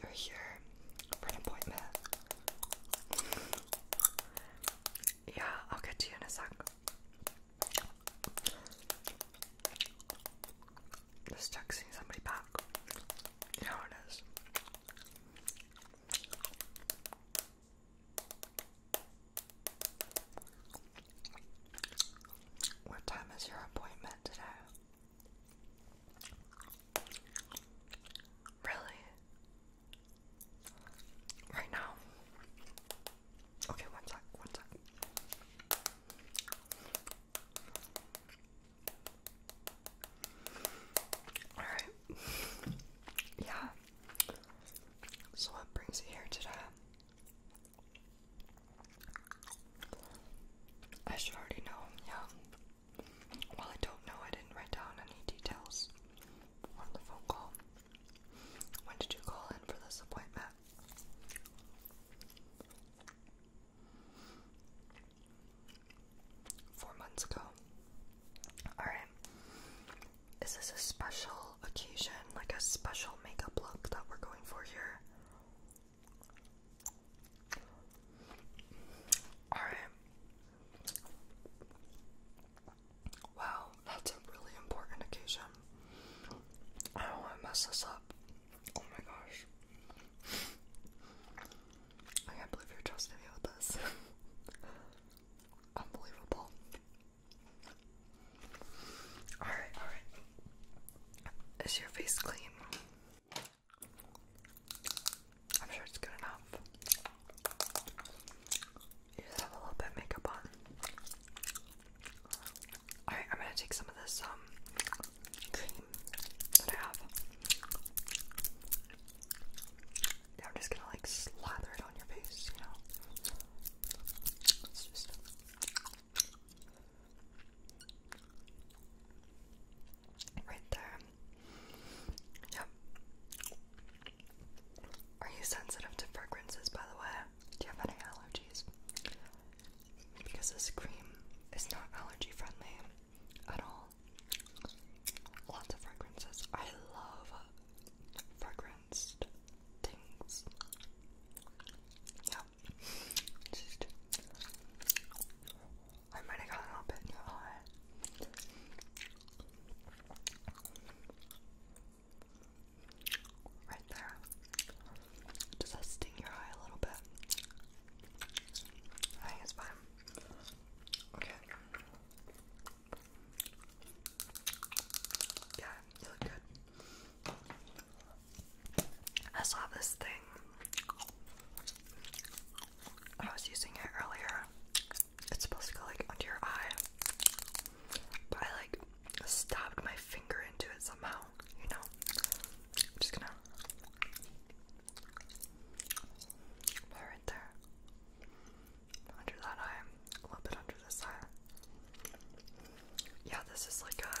You're here for an appointment. Yeah, I'll get you in a sec. Just texting somebody back. You know it is. What time is your appointment today? Really? right now. Okay, one sec, one sec. Alright. yeah. So what brings you here today? I should already know, yeah. Well, I don't know. I didn't write down any details on the phone call. When did you call in for this appointment? Four months ago. Alright. Is this a special occasion, like a special makeup look that we're going for here? Alright. Wow, that's a really important occasion. I don't want to mess this up. Oh my gosh. I can't believe you're trusting me with this. Unbelievable. Alright, alright. Is your face clean? I'm sure it's good enough. You just have a little bit makeup on. Alright, I'm gonna take some of this um cream that I have. Yeah, I'm just gonna like slather it on your face, you know. right there. Yep. Are you sensitive to fragrances, by the way? Do you have any allergies? Because this cream is not allergy friendly at all. Lots of fragrances. I love fragranced things. Yep. I might have got a little bit too high. Right there. Does that sting your eye a little bit? I think it's fine. Okay. Yeah, you good. I saw this thing I was using it earlier. It's supposed to go like under your eye, but I like stabbed my finger into it somehow. You know, I'm just gonna put it there under that eye, a little bit under this eye. Yeah, this is like a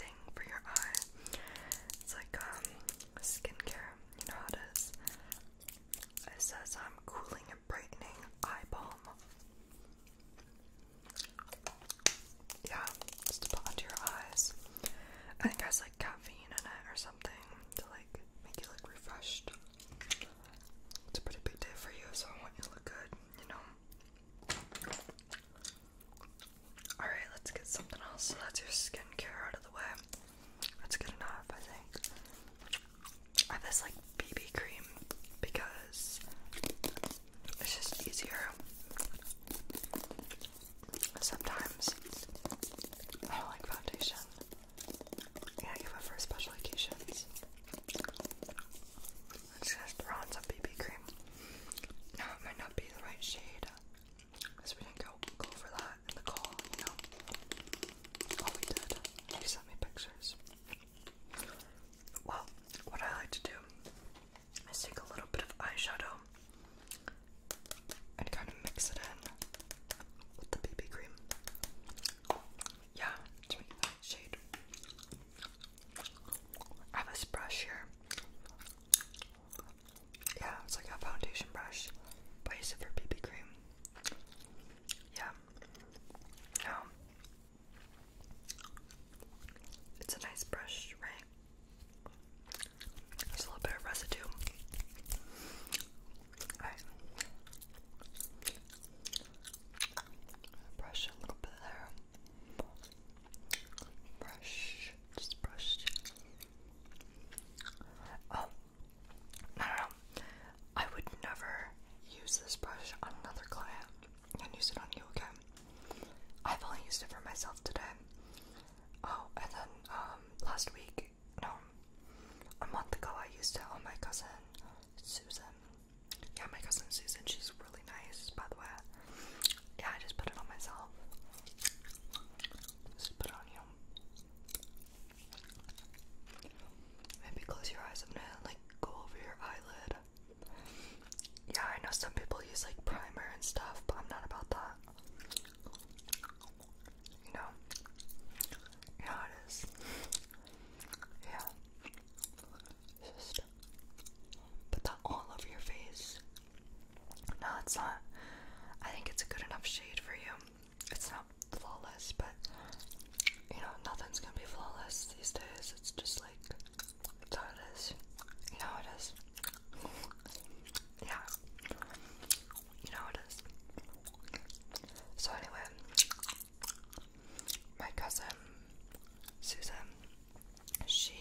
thing for your eye. It's like um skincare. You know how it is. It says I'm um, cooling and brightening eye balm. Yeah, just to put onto your eyes. I think it has like caffeine in it or something to like make you look refreshed. It's a pretty big day for you, so I want you to look good, you know. Alright, let's get something else. So that's your skincare out of the way. That's good enough, I think. I have this like BB cream because it's just easier. Sometimes I don't like foundation. Yeah, you give it for special occasions. i just throw on some BB cream. Now it might not be the right shade. Because we didn't go, go over that in the call, you know? Oh, we did. He sent me pictures. Well, what I like to do is take a little bit of eyeshadow and kind of mix it in with the BB cream. Yeah, shade. I have this brush here. Yeah, it's like a foundation brush, but I use it for BB cream. Yeah. Um, it's a nice brush, right? There's a little bit of residue. Alright. Brush a little bit there. Brush. Just brush. Um, no, no, no. I would never use this brush on another client and use it on you again. I've only used it for myself today. Oh, and then um, last week, no, a month ago, I used it on my cousin Susan. Yeah, my cousin Susan, she's really nice, by the way. Yeah, I just put it on myself. Just put on you. Maybe close your eyes. I'm gonna like go over your eyelid. Yeah, I know some people use like primer and stuff, but I'm not about that. You know? Yeah, it is. Yeah. Just put that all over your face. No, it's not. I think it's a good enough shade for you. It's not flawless, but you know, nothing's gonna be flawless these days. It's just like, it's how it is. You know how it is. Yeah. You know how it is. So, anyway, my cousin Susan, she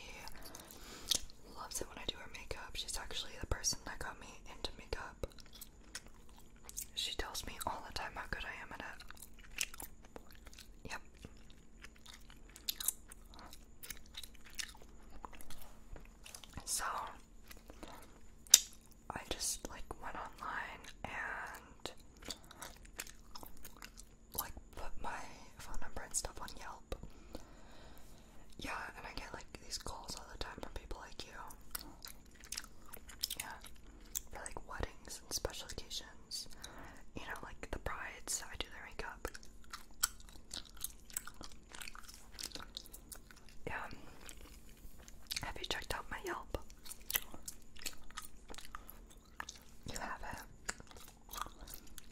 Loves it when I do her makeup. She's actually the person that got me into makeup. She tells me all the time how good I am at it. Yep. So, I just like went online and like put my phone number and stuff on Yelp. Yeah, and I get like these calls all the time from people like you. Yeah. For like weddings and special occasions. You know, like the brides, I do their makeup. Yeah. Have you checked out my Yelp? You have it.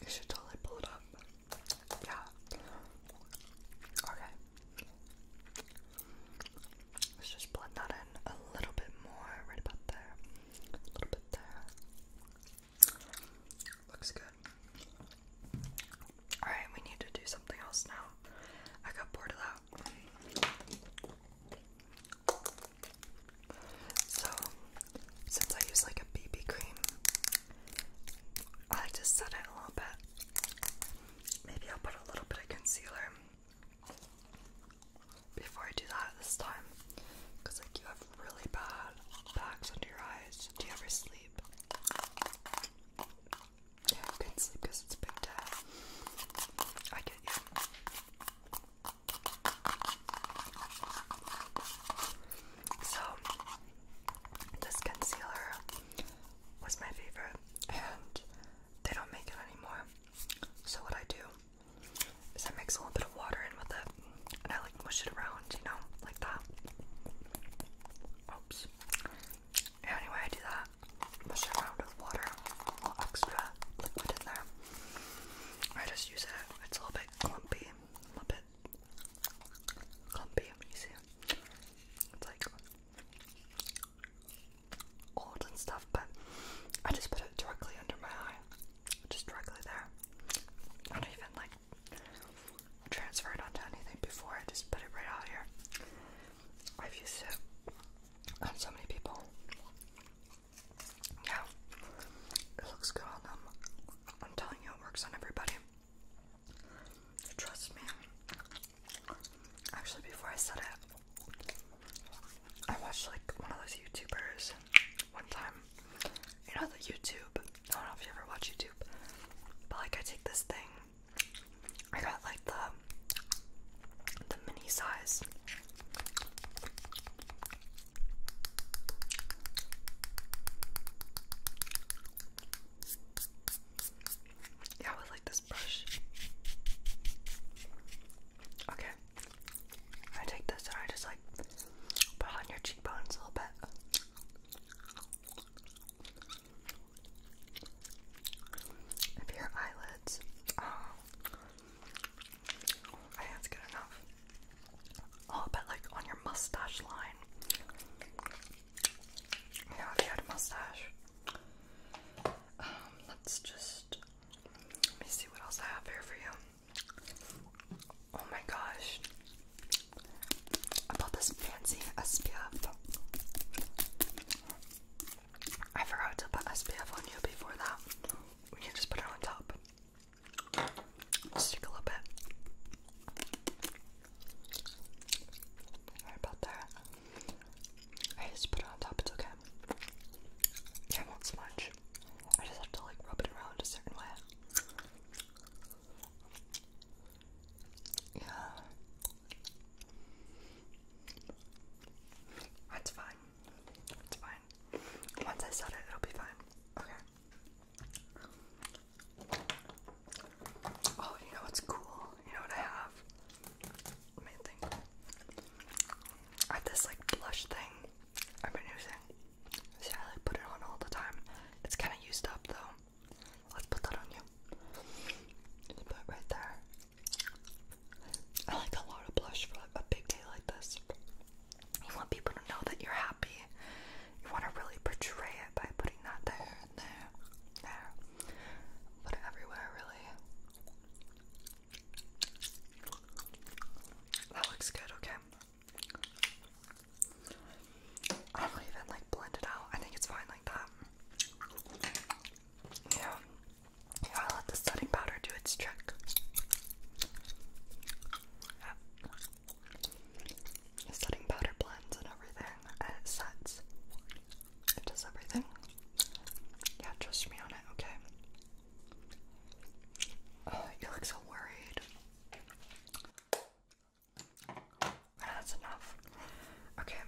You should totally pull it up. Yeah. Okay. Let's just blend that in a little bit more, right about there. A little bit there. Looks good. Alright, we need to do something else now. I got bored of that. So, since I use like a BB cream, I like to set it a little bit. Maybe I'll put a little bit of concealer before I do that this time. Because, like, you have really bad bags under your eyes. Do you ever sleep? Yeah, you can sleep because it's big I get you. So, this concealer was my favorite, and they don't make it anymore. So, what I do is I mix a little bit of water in with it, and I like mush it around, you know, like that. Oops. anyway, I do that. Mush it around with water, extra liquid in there. I just use it. It's a little bit clumpy, a little bit can't be amazing. It's like old and stuff, but I just put it directly under my eye, just directly there. I don't even like transfer it onto anything before. I just put it right out here. I've used it on so many people. Yeah, it looks good on them. I'm telling you, it works on everybody. Trust me. Actually, before I said it, I watched like one of those YouTubers one time. You know, the YouTube. I don't know if you ever watch YouTube, but like, I take this thing. I got like the the mini size. Yeah, I would like this brush. Okay. I take this and I just like put on your cheekbones a little bit. Maybe your eyelids. Oh. that's good enough. A oh, little like on your mustache line. Yeah, if you had a mustache. Um, let's just let me see what else I have here for you. Oh my gosh. I bought this fancy SPF. I forgot to put SPF on you before that. We can just put it on top. Just take a little bit. Sorry about that. I just put it on top, it's okay. Yeah, won't smudge. I just have to like rub it around a certain way. Yeah. That's fine. It's fine. Once I set it, it'll be fine. Okay. Oh, you know what's cool? You know what I have? Let me I have this like blush thing I've been using. See, I like put it on all the time. It's kind of used up though. Let's put that on you. Just put it right there. I like a lot of blush for a big day like this. You want people to know that you're happy you want to really portray it by putting that there, there, there. Put it everywhere, really. That looks good, okay? I don't even like blend it out. I think it's fine like that. Yeah. You got let the setting powder do its trick setting powder blends and everything, and it sets. It does everything. Yeah, trust me on it, okay? you look so worried. That's enough. Okay,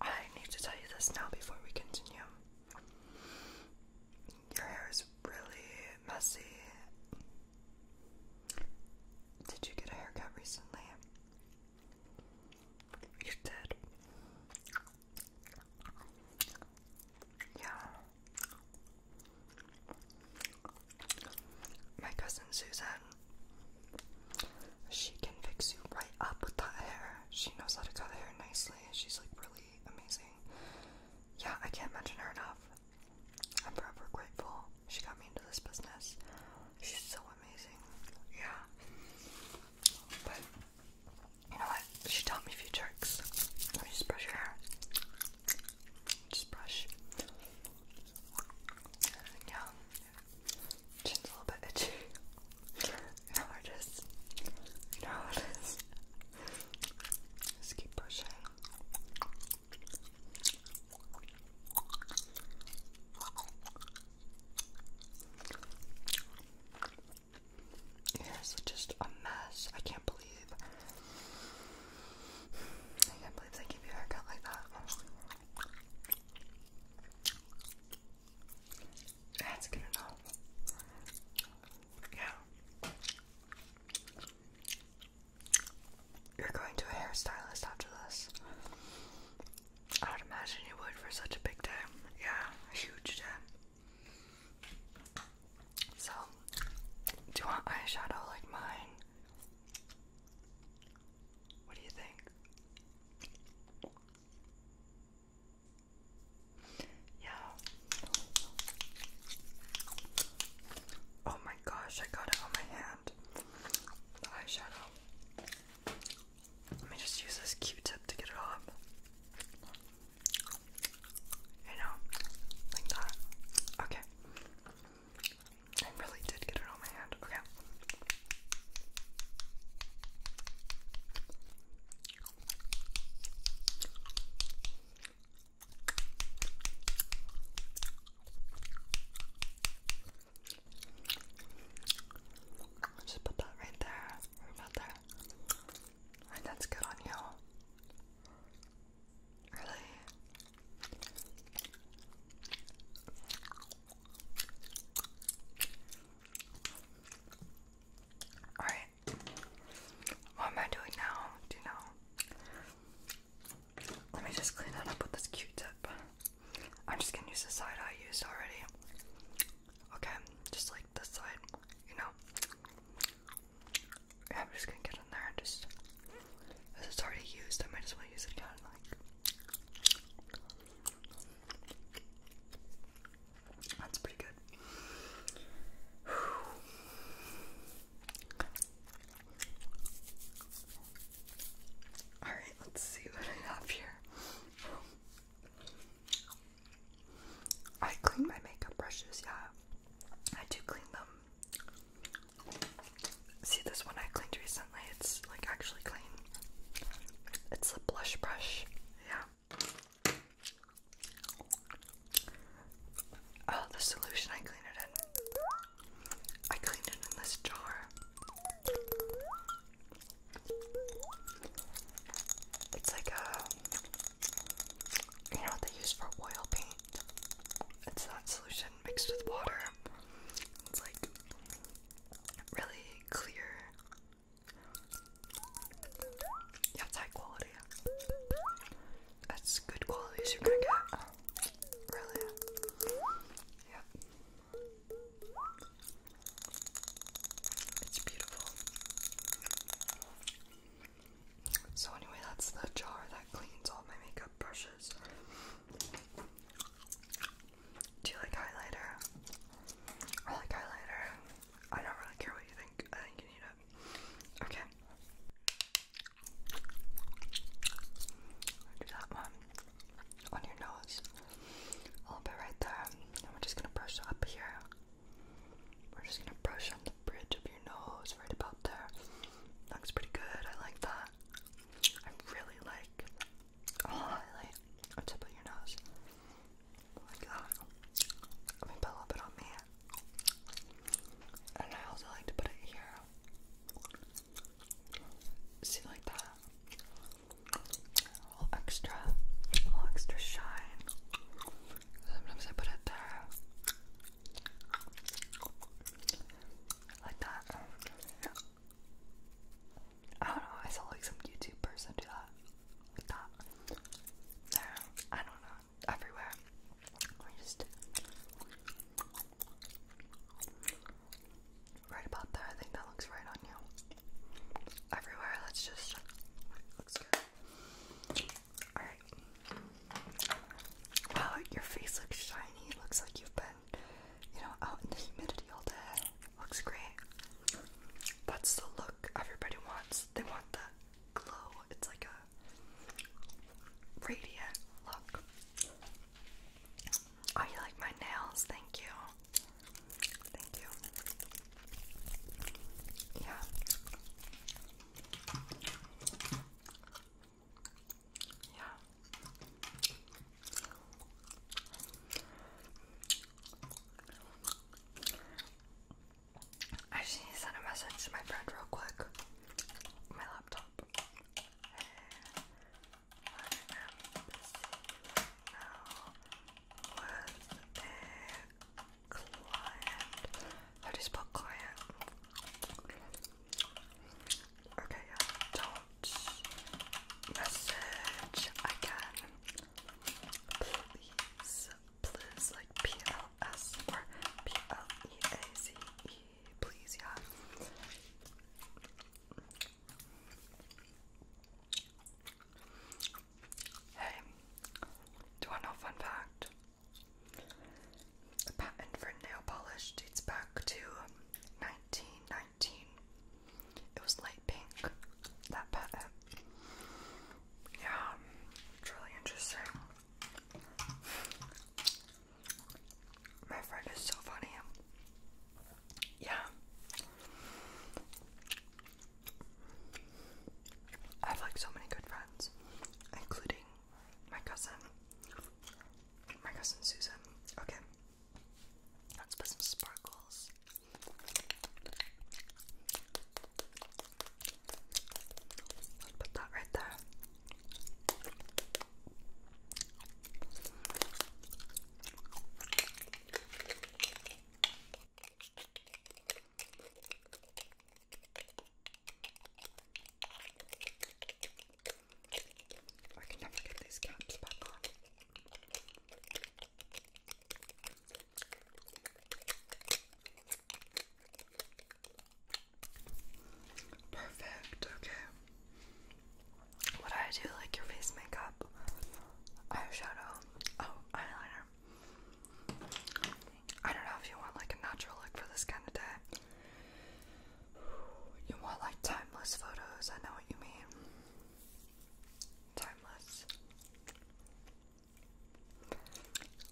I need to tell you this now before we continue. Your hair is really messy did you get a haircut recently? You did. Yeah. My cousin Susan, she can fix you right up with that hair. She knows how to cut hair nicely. She's like really amazing. Yeah, I can't mention her enough. I'm forever grateful she got me into this business. She's so amazing. Yeah. But you know what? She taught me a few tricks. Let me just brush your hair. Just brush. Yeah. Chin's a little bit itchy. You know how it is. You know how Just keep brushing. It's just a mess. I can't believe. I can't believe they give you a haircut like that. That's good enough. Yeah. You're going to a hairstylist after this. I would imagine you would for such a big day. Yeah, a huge day. So, do you want eyeshadow like mine? What do you think? Yeah. Oh my gosh, I got it on my hand. eyeshadow. Let me just use this Q-tip to get it off. You know, like that. Okay. I really did get it on my hand. Okay i just put that right there, right there. Alright, that's good on you. Really? Alright. What am I doing now? Do you know? Let me just clean that up with this Q-tip. I'm just gonna use the side I used already. Okay, just like this side, you know. I'm just gonna get in there and just. As it's already used, I might as well use it again. that's pretty good. Alright, let's see what I have here. I clean my makeup brushes, yeah. I do clean them. See this one I cleaned recently, it's like actually clean. It's a blush brush, yeah. Oh, the solution I clean it in. I cleaned it in this jar. It's like a, you know what they use for oil paint? It's that solution mixed with water. It's like really clear. it's high quality. That's good quality you're gonna get. Really? Yep. It's beautiful. So, anyway, that's the jar that cleans all my makeup brushes. Do you like highlighter? I like highlighter. I don't really care what you think. I think you need it. Okay. Do that one on your nose. A little bit right there. we're just gonna brush up here. We're just gonna brush on the bridge of your nose, right about there. Looks pretty good. I like that. I really like a highlight on top of your nose. Like that. Let me put a little bit on me. And I also like to put it here. See, like that. little extra, little extra shine. Sometimes I put it there. Like that. I don't know, I saw like some YouTube person do that. Like that. There. I don't know everywhere. I just right about there. I think that looks right on you. Everywhere. Let's just looks good. All right. Wow, your face looks shiny. looks like you've been, you know, out in the humidity all day. Looks great. That's the look everybody wants. They want that glow. It's like a radiant look. Oh, you like my nails? Thank you. Thank you. Yeah. Yeah. I just need to send a message to my friend real quick. My laptop. I am busy now with client. How do you spell client? Okay, yeah, don't message again. Please, please, like P L S or P L E A C E, please, yeah. Hey, do you want to know fun fact? A patent for nail polish dates back to 1919. It was light pink, that patent. Yeah, really interesting. My friend is so funny. Yeah. I have like so many good friends, including my cousin. My cousin Susan. Okay. Let's put some sparkles. Let's put that right there. I can never get these caps back on. Perfect, okay. What do I do? Like your face makeup, eyeshadow, oh, eyeliner. I don't know if you want like a natural look for this kind of day. You want like timeless photos, I know what you mean. Timeless.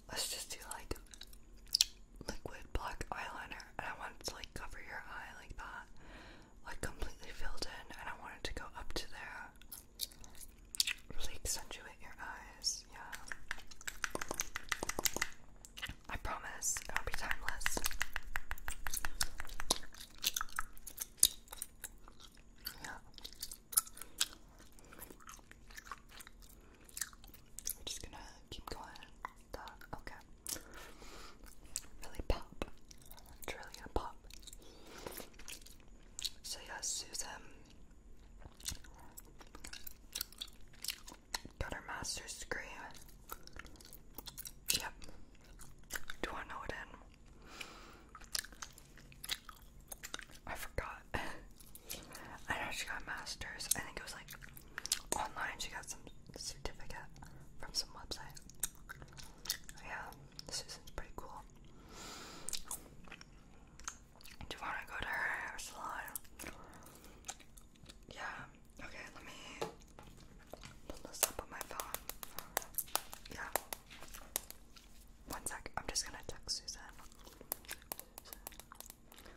Let's just do like liquid black eyeliner and I want to like cover your eye like that. Like completely filled in and I want to go up to there. Really accentuate your eyes, yeah. I promise it'll be timeless. Yeah. We're just gonna keep going. Okay. Really pop. It's really going pop. So yeah, Susan got her master's degree. Yep. Do I know it in? I forgot. I know she got master's. I think it was like online. She got some certificate from some website. Yeah, Susan's pretty cool. Do you want to go to her salon? Yeah. Okay, let me pull this up on my phone. Yeah. One sec. I'm just gonna text Susan. Susan.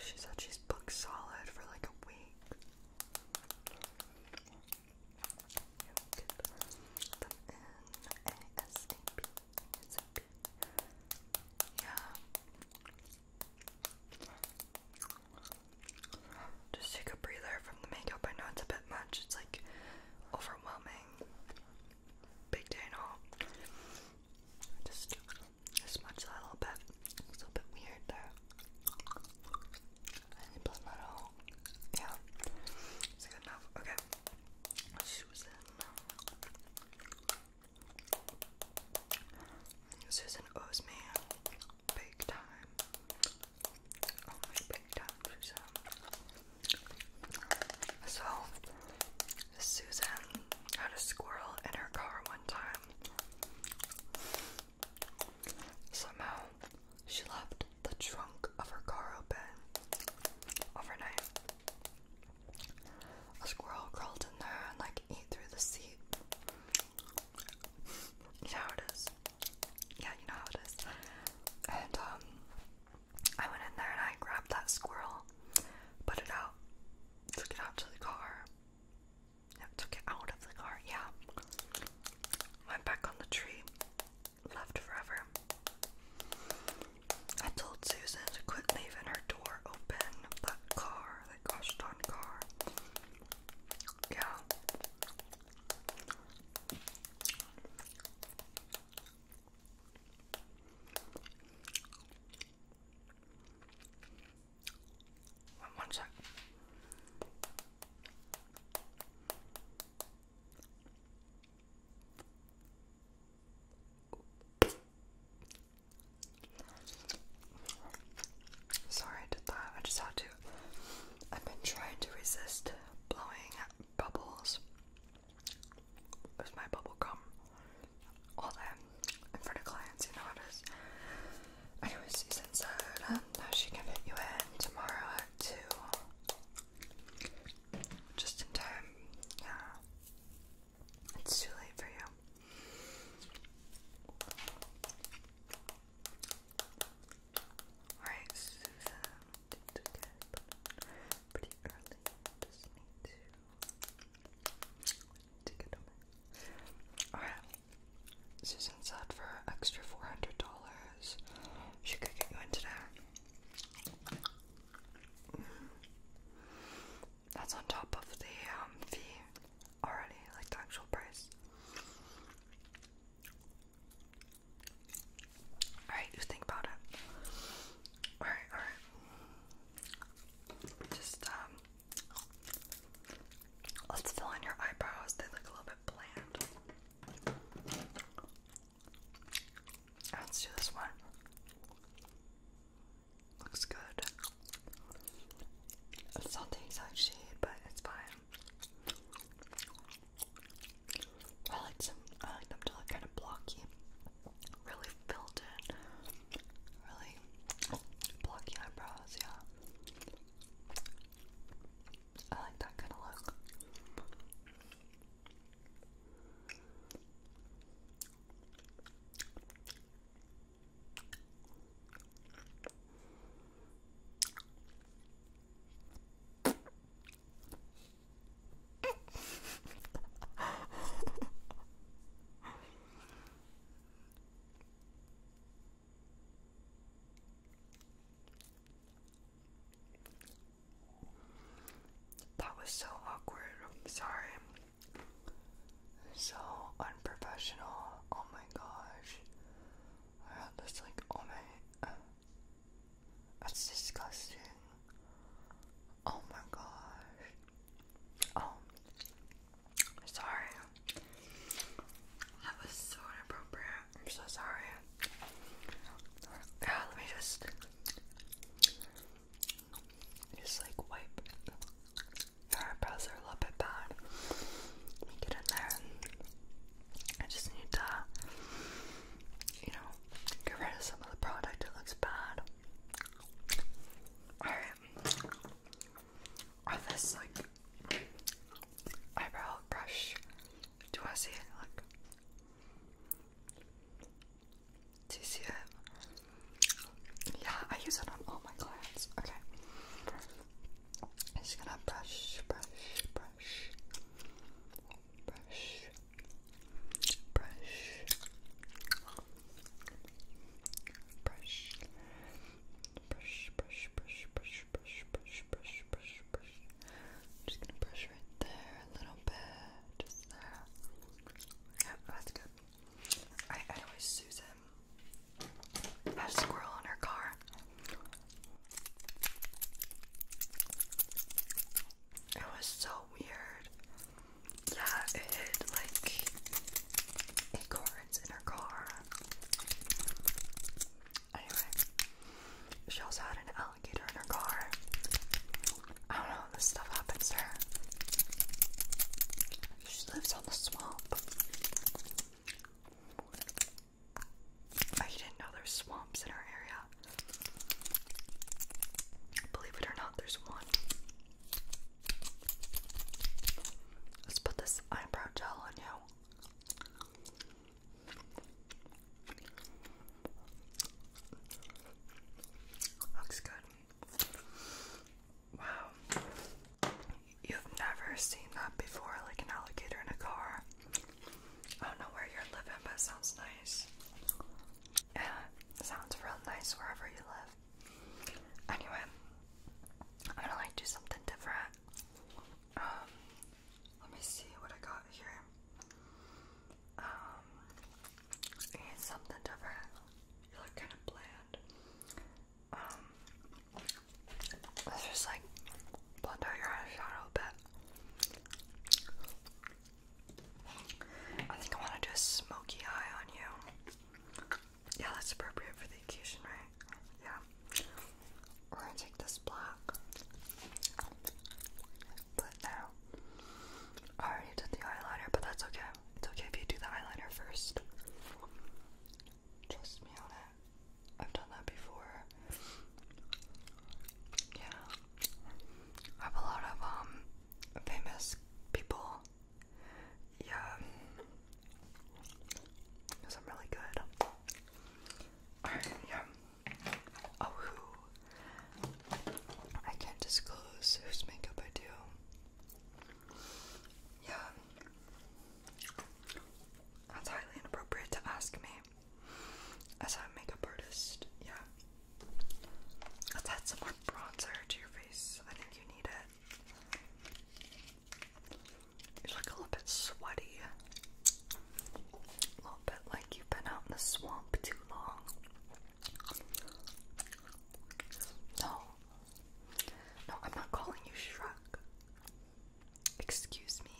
She said she's booked solid for like a week. Yeah. Just take a breather from the makeup. I know it's a bit much. It's like overwhelming. Big day and just smudge that a little bit. It's a little bit weird there. Any blood metal? Yeah. Is good enough? Okay. Susan. Susan owes me big time. Oh my big time, Susan. So, Susan had a squirrel in her car one time. Somehow, she left the trunk of her car open overnight. A squirrel crawled in there and, like, ate through the seat. You know how it is. Yeah, you know how it is. And, um, I went in there and I grabbed that squirrel, put it out, took it out to the car. took it out of the car, yeah. Went back on the tree, left forever. I told Susan to quit leaving her door open. That car, that gosh darn car. Yeah. One, one sec. Sorry, I did that. I just had to. I've been trying to resist blowing bubbles there's my bubble gum. All that in front of clients, you know how it is. Anyways, she's um, she can fit you in tomorrow at 2. Just in time. Yeah. It's too late for you. Alright, Susan. It's okay, pretty early. Just need to Alright. Susan said for extra four hundred dollars she could get you in today. Mm. That's on top of the um, fee already, like the actual price. Alright, you think about it. Alright, alright. Just, um, let's fill in your eyebrows. They look a little bit bland. Let's do this one. Looks good. It's not the exact shade, but it's fine. I like some. I like them to look kind of blocky really filled in, really blocky eyebrows, yeah. I like that kind of look that was so awkward. sorry. So unprofessional. Oh my gosh. I had this like on my uh, that's disgusting. Oh my gosh. Oh. Sorry. That was so inappropriate. I'm so sorry. Yeah, let me just just like wipe your brows are a little bit bad. Let me get in there. I just need to you know, get rid of some of the product that looks bad. Alright. this, like, eyebrow brush. Do you see it? Look. Do you see it? Yeah, I use it on all my clients. Okay. just gonna brush, brush, brush, brush, brush, brush, brush, brush, brush, brush, brush, brush, brush, brush, brush. I'm just gonna brush right there a little bit, just there. Yeah, that's good. I, I always Susan had a squirrel in her car. It was so weird. Yeah, it hit like acorns in her car. Anyway, she also had an alligator in her car. I don't know, this stuff happens to She lives on the swamp. I didn't know there's swamps in our area. Believe it or not, there's one. Let's put this eyebrow gel on you. Looks good. Wow. You've never seen that before, like an alligator in a car. I don't know where you're living, but sounds nice sounds real nice wherever you live. Anyway, I'm gonna like do something different. Um, let me see what I got here. Um, it's something different. You look kind of bland. Um, let's just like blend out your eyeshadow a bit. I think I want to do a smoky eye on you. Yeah, that's appropriate for the occasion, right? Yeah. We're gonna take this black. But now, I already did the eyeliner, but that's okay. It's okay if you do the eyeliner first. Trust me on it. I've done that before. Yeah. I have a lot of um famous people. Yeah, because I'm really good. yeah. Oh, who? I can't disclose whose makeup I do. Yeah. That's highly inappropriate to ask me. As a makeup artist, yeah. Let's add some more bronzer to your face. I think you need it. You look a little bit sweaty. A little bit like you've been out in the swamp too long. No. No, I'm not calling you Shrek. Excuse me.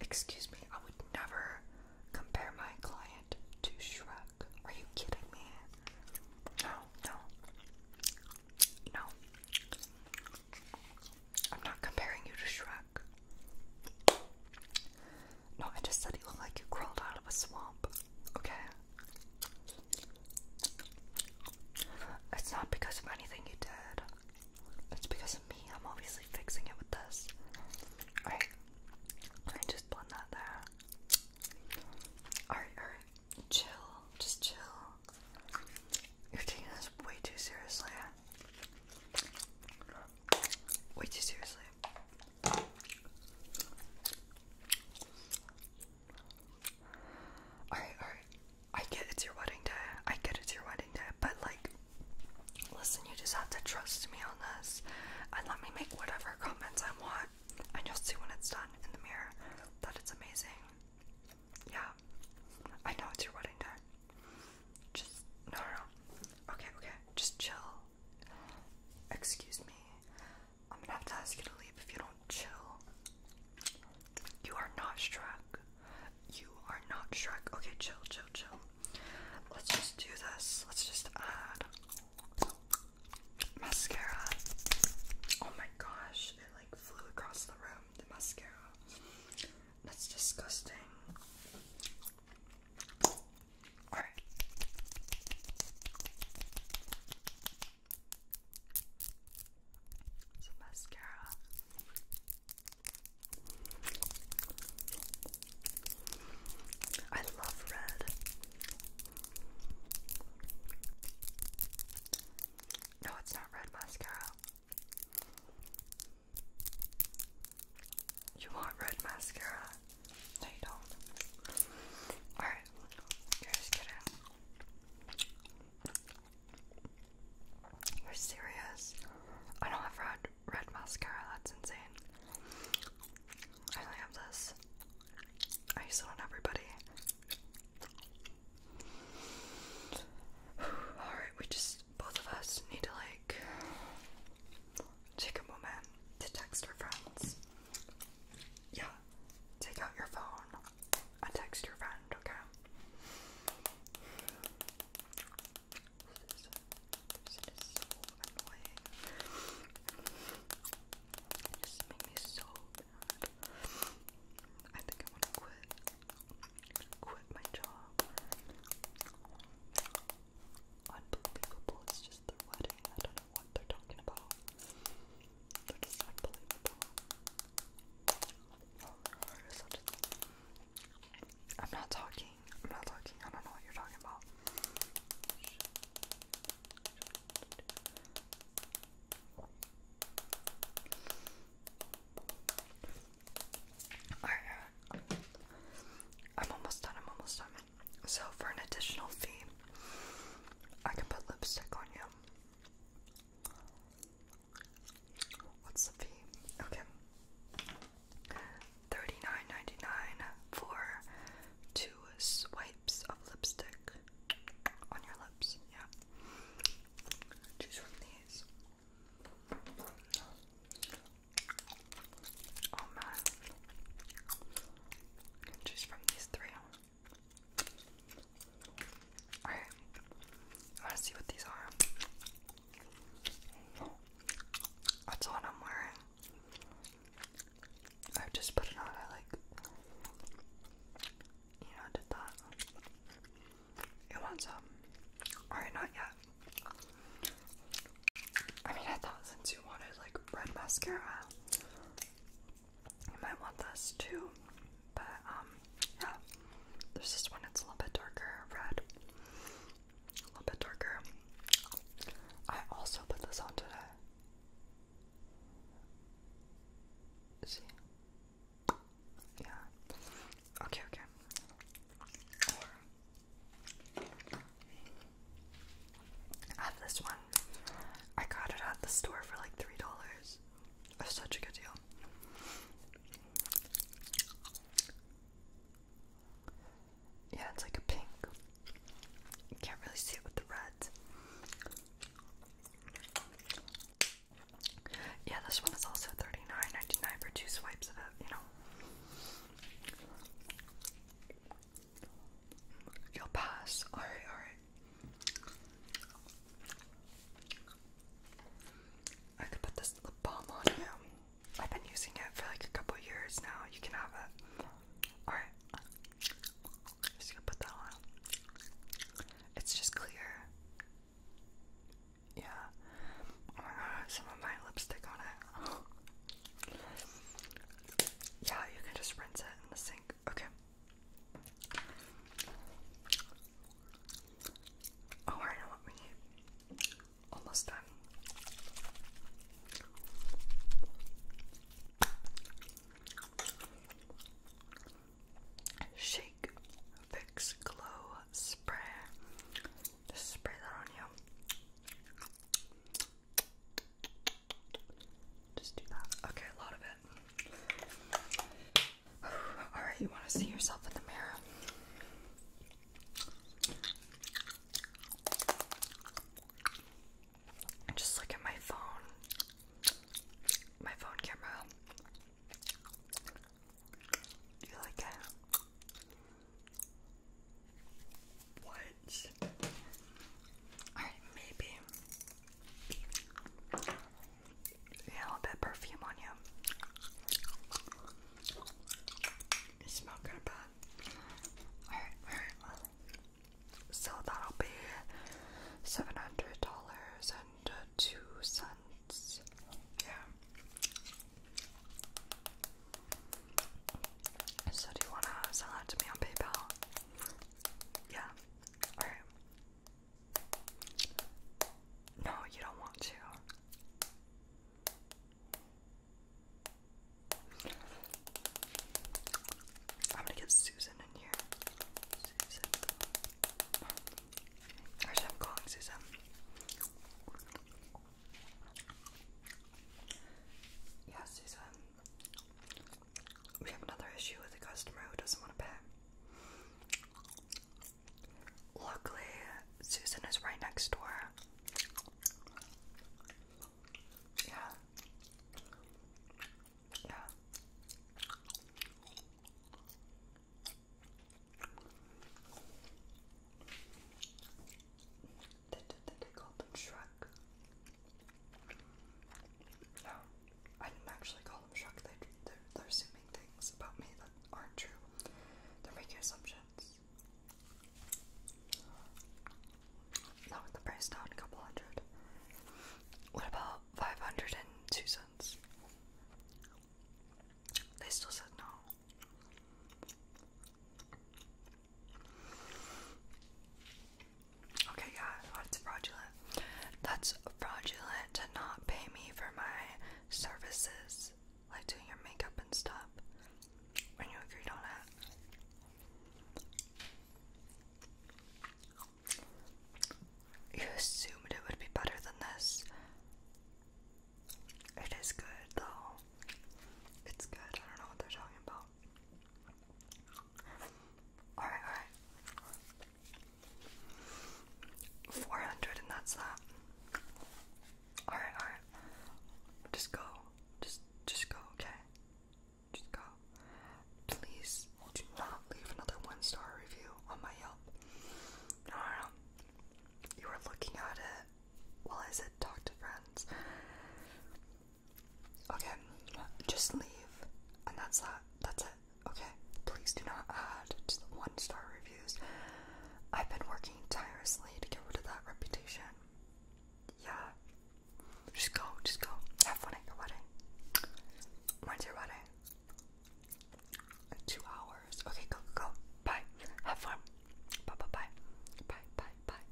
Excuse me, I would never compare my client to Shrek. Are you kidding me? No, no. No. I'm not comparing you to Shrek. No, I just said you look like you crawled out of a swamp. Okay? It's not because of anything you did. It's because of me. I'm obviously fixing it with this. Alright. I just blend that there. Alright, alright. Chill. Just chill. You're taking this way too seriously. Way too seriously. Alright, alright. I get it's your wedding day. I get it's your wedding day, but like Listen, you just have to trust me on this and let me make whatever comments I want, and you'll see when it's done in the mirror that it's amazing. Yeah, I know it's your wedding day. Just, no, no, no. Okay, okay, just chill. Excuse me. I'm gonna have to ask you to leave if you don't chill. You are not Shrek. You are not Shrek. Okay, chill, chill, chill. Let's just do this. Let's just add mascara. Oh my gosh, it like flew across the room, the mascara. That's disgusting. Alright. Some mascara. I love red. No, it's not red mascara. You want red mascara? No, you don't. Alright, here's kidding. You're serious? I don't have red red mascara, that's insane. I only have this. I use it on everybody. Alright, we just, both of us need to like take a moment to text our friends. Yeah, take out your phone and text your friend, okay? This person It just made me so I think I want to quit. Quit my job. Unbelievable. It's just their wedding. I don't know what they're talking about. They're just unbelievable. I'm not talking. I'm not talking. I don't know what you're talking about. Alright, I'm almost done. I'm almost done. So, for an additional fee, I can put lipstick on you. What's the fee? Okay. 39 for two swipes of lipstick on your lips. Yeah. Choose from these. Oh man. Choose from these three. Alright. I wanna see what these are. That's the one I'm wearing. I just put it on. I like, you know, did that. It wants up. Um, alright, not yet. I mean, I thought since you wanted like red mascara, you might want this too. But um, yeah, there's this one. It's a little bit darker red a little bit darker. I also put this on today. See? Yeah. Okay, okay. I this one. I got it at the store for like three dollars. such a good deal. Yeah, it's like a pink. You can't really see it with the red. Yeah, this one is also 39 99 for two swipes of it, you know. You'll pass. Alright, alright. I could put this lip balm on you. I've been using it for like a couple years now. You can have it. Alright. Just gonna put that on. It's just clear. Yeah. Oh my god, some of my lipstick on it. yeah, you can just rinse it in the sink. Okay. Oh, I know what we need almost done. Shake Fix Glow Spray. spray that on you. Just do that. Okay, a lot of it. Alright, you want to see yourself in the mirror? I just look at my phone. My phone camera. Do you like it? What? Alright, maybe. Yeah, a little bit perfume on you. So that'll be seven hundred dollars and uh, two cents. Yeah. So do you wanna sell that to me on PayPal? Yeah. Alright. No, you don't want to. I'm gonna get Susan in here. Susan. I'm calling Susan. Yeah, Susan. We have another issue with a customer who doesn't want to pay. Luckily, Susan is right next door. Yeah. Yeah. They did think I called them Shrek. No, I didn't actually call them Shrek. they're, they're assuming things about me that aren't true. They're making assumptions. Lower the price down a couple hundred. What about five hundred and two cents? They still said no. Okay, yeah, that's fraudulent. That's fraudulent to not pay me for my services like doing your makeup and stuff when you agreed on it. You assumed it would be better than this. It is good though. It's good. I don't know what they're talking about. Alright, alright. 400 and that's that. Alright, alright. Just go. Just just go, okay? Just go. Please do not leave another one star review on my Yelp. No, no, You were looking at it while I said talk to friends. Okay, just leave. And that's that. That's it. Okay. Please do not add to the one star review. I've been working tirelessly to get rid of that reputation. Yeah. Just go, just go. Have fun at your wedding. When's your wedding? In two hours. Okay, go, go, go. Bye. Have fun. Bye, bye, bye. Bye, bye, bye.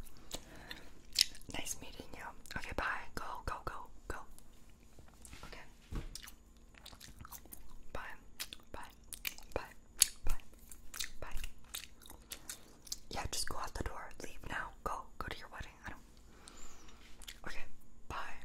Nice meeting you. Okay, bye. Go, go, go, go. Okay. Bye. Bye. Yeah, just go out the door. Leave now. Go. Go to your wedding. Okay. Bye.